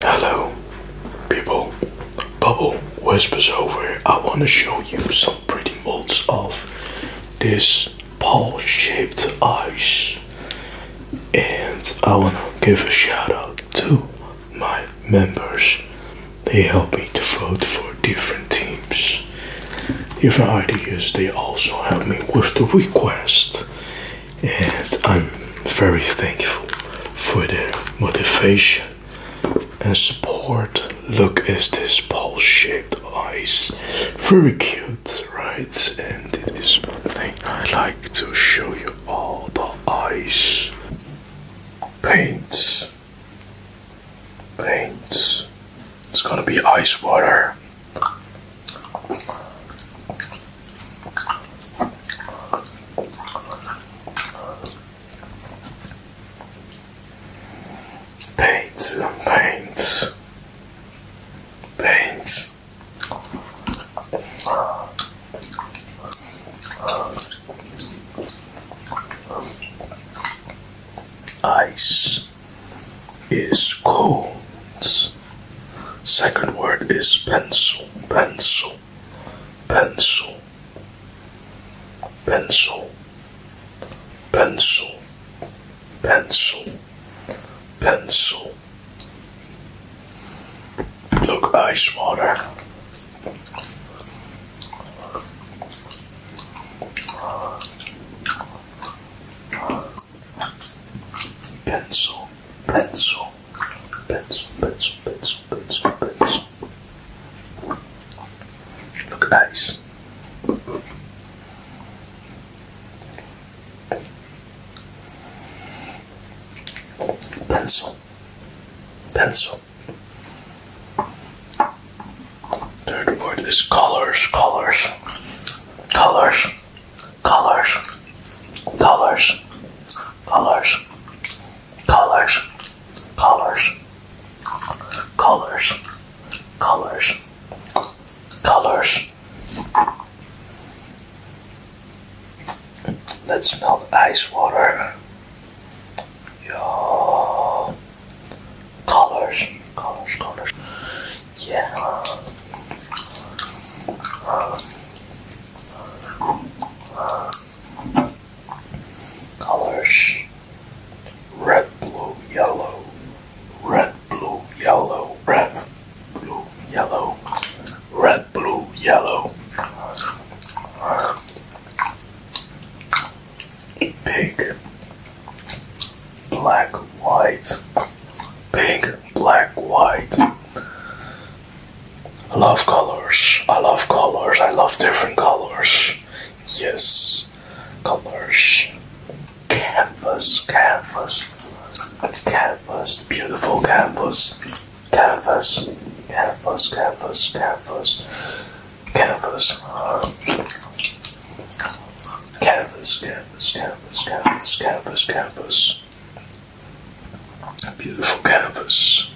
Hello, people. Bubble Whispers over I want to show you some pretty molds of this ball shaped ice. And I want to give a shout out to my members. They help me to vote for different teams. Different ideas, they also help me with the request and I'm very thankful for the motivation and support. Look at this ball shaped ice, very cute, right? And it is thing I like to show you all the ice Paints, paints. It's gonna be ice water. Paint, paint, paint. Ice is cold. Second word is pencil, pencil, pencil, pencil, pencil, pencil, pencil. Look, ice water. Pencil, pencil. Pencil, pencil, pencil, pencil, pencil. Look nice. Pencil, pencil. Third word is colors, colors, colors colors, colors, colors, colors, colors, colors, colors, colors. Let's melt ice water. Yo. Colors, colors, colors. Yeah. Colors red, blue, yellow, red, blue, yellow, red, blue, yellow, red, blue, yellow. Pink, black, white pink, black, white. I love colors. I love colors. I love different colors. Yes, colors. Canvas, canvas, canvas, beautiful canvas, canvas, canvas, canvas, canvas, canvas, canvas, canvas canvas, canvas, canvas, canvas, canvas. A beautiful canvas.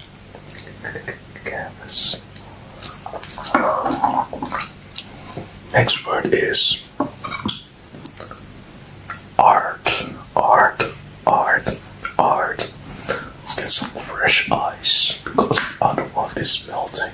Canvas. Next word is art, art, art, art. Let's get some fresh ice because I don't want this melting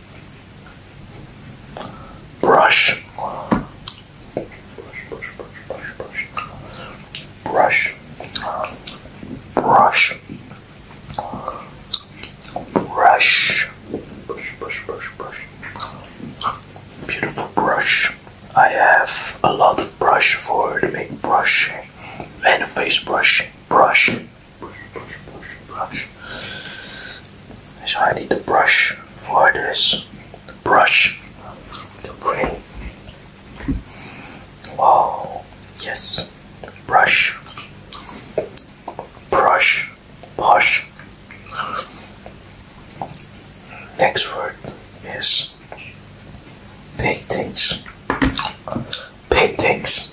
Brush. Brush, brush, brush, brush, brush. Brush. Brush. Brush. Brush, brush, brush, brush. Beautiful brush. I have a lot of brush for to make brushing and face brushing. Brush brush, brush, brush, brush. So I need the brush for this. The brush to bring. Oh, yes. Brush. Brush. Brush. Next word is paintings. Paintings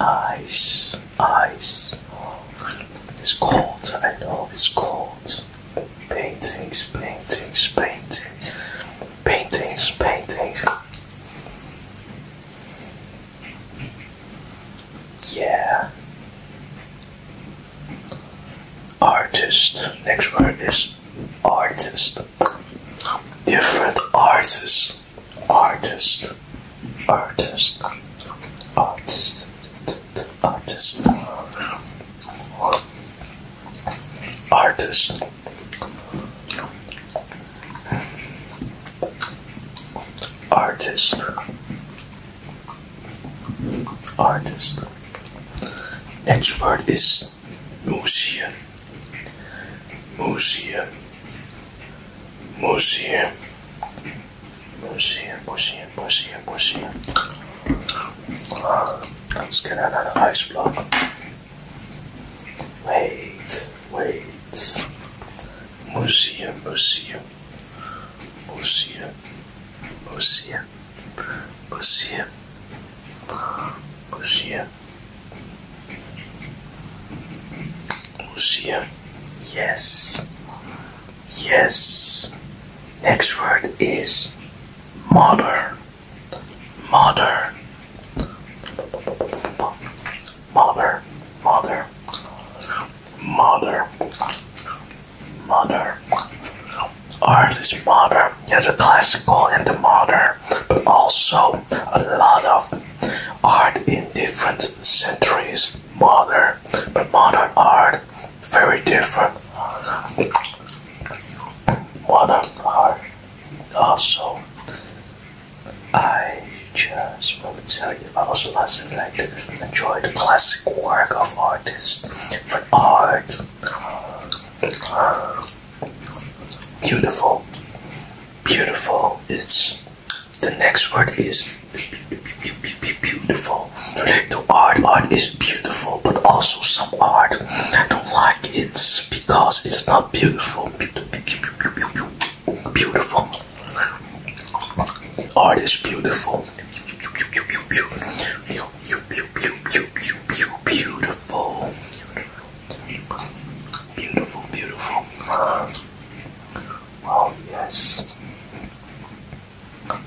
ice, ice. It's cold, I know it's cold. Paintings, paintings, paintings, paintings, paintings. Yeah. Artist. Next word is artist. Different artists. Artist artist, artist, artist, artist. Artist, artist. Next word is museum, museum. Push here. Push here, push here, push Let's get another ice block. Wait, wait. Push here, push here. Push Museum. Yes. Yes. Next word is mother. Mother. Mother. Mother. Mother. Mother. Art is modern. There's a classical and the modern, but also a lot of art in different centuries. Modern, but modern art very different. Modern art also. I just want to tell you, I also lastly like to enjoy the classic work of artists for art. Beautiful beautiful. It's the next word is beautiful. The art art is beautiful, but also some art I don't like it because it's not beautiful. Beautiful art is beautiful. Beautiful. Beautiful, beautiful. Oh, yes.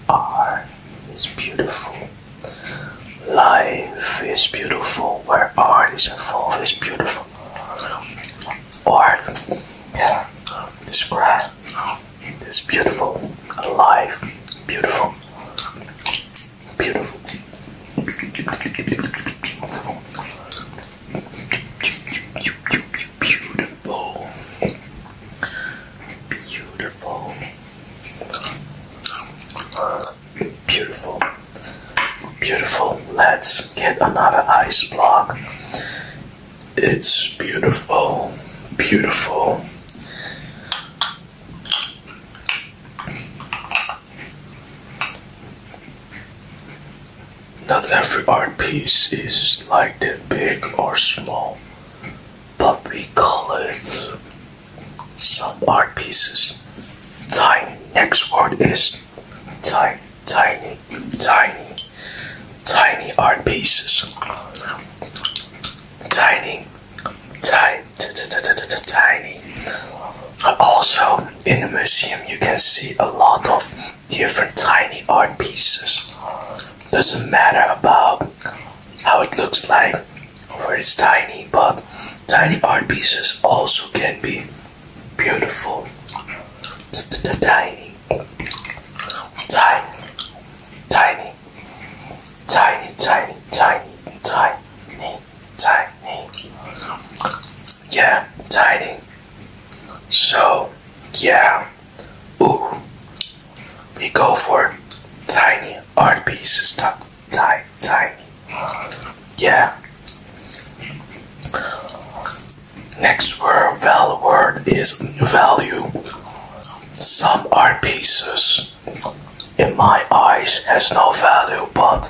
Art is beautiful. Life is beautiful. Where art is involved is beautiful. Art can describe this beautiful life. Beautiful. Beautiful. Beautiful. Beautiful. Beautiful. Beautiful. Beautiful. Let's get another ice block. It's beautiful. Beautiful. Not every art piece is like that big or small, but we call it some art pieces tiny. Next word is tiny, tiny, tiny, tiny art pieces. Tiny, tiny tiny, Also, in the museum, you can see a lot of different tiny art pieces. Doesn't matter about how it looks like, or it's tiny, but tiny art pieces also can be beautiful. tiny, tiny, tiny, tiny, tiny, tiny tiny. Yeah, tiny. So, yeah. Ooh. We go for tiny art pieces. Stop. Tiny, tiny. Yeah. Next word, value word is value. Some art pieces in my eyes has no value, but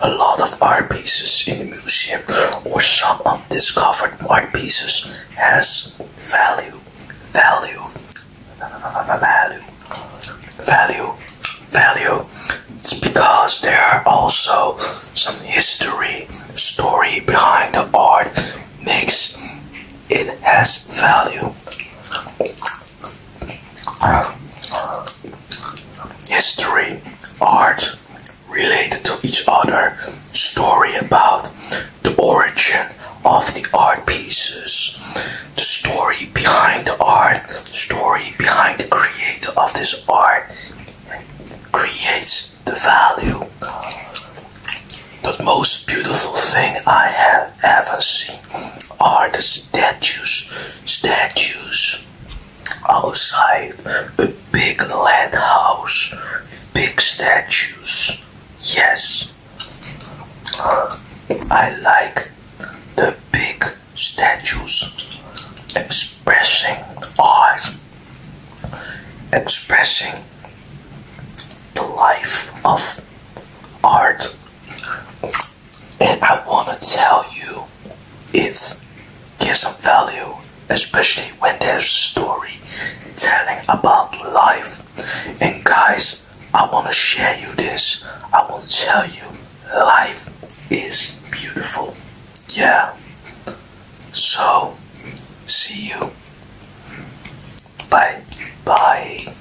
a lot of art pieces in the museum or some undiscovered art pieces has value, value, value, value, value. It's because there are also some history, story behind the art makes it has value history, art related to each other, story about the origin of the art pieces, the story behind the art, story behind the creator of this art creates the value. The most beautiful thing I have ever seen are the statues statues outside a big lead house with big statues yes I like the big statues expressing art expressing the life of art and I want to tell you, it gives some value, especially when there's story telling about life. And guys, I want to share you this. I want to tell you, life is beautiful. Yeah. So, see you. Bye. Bye.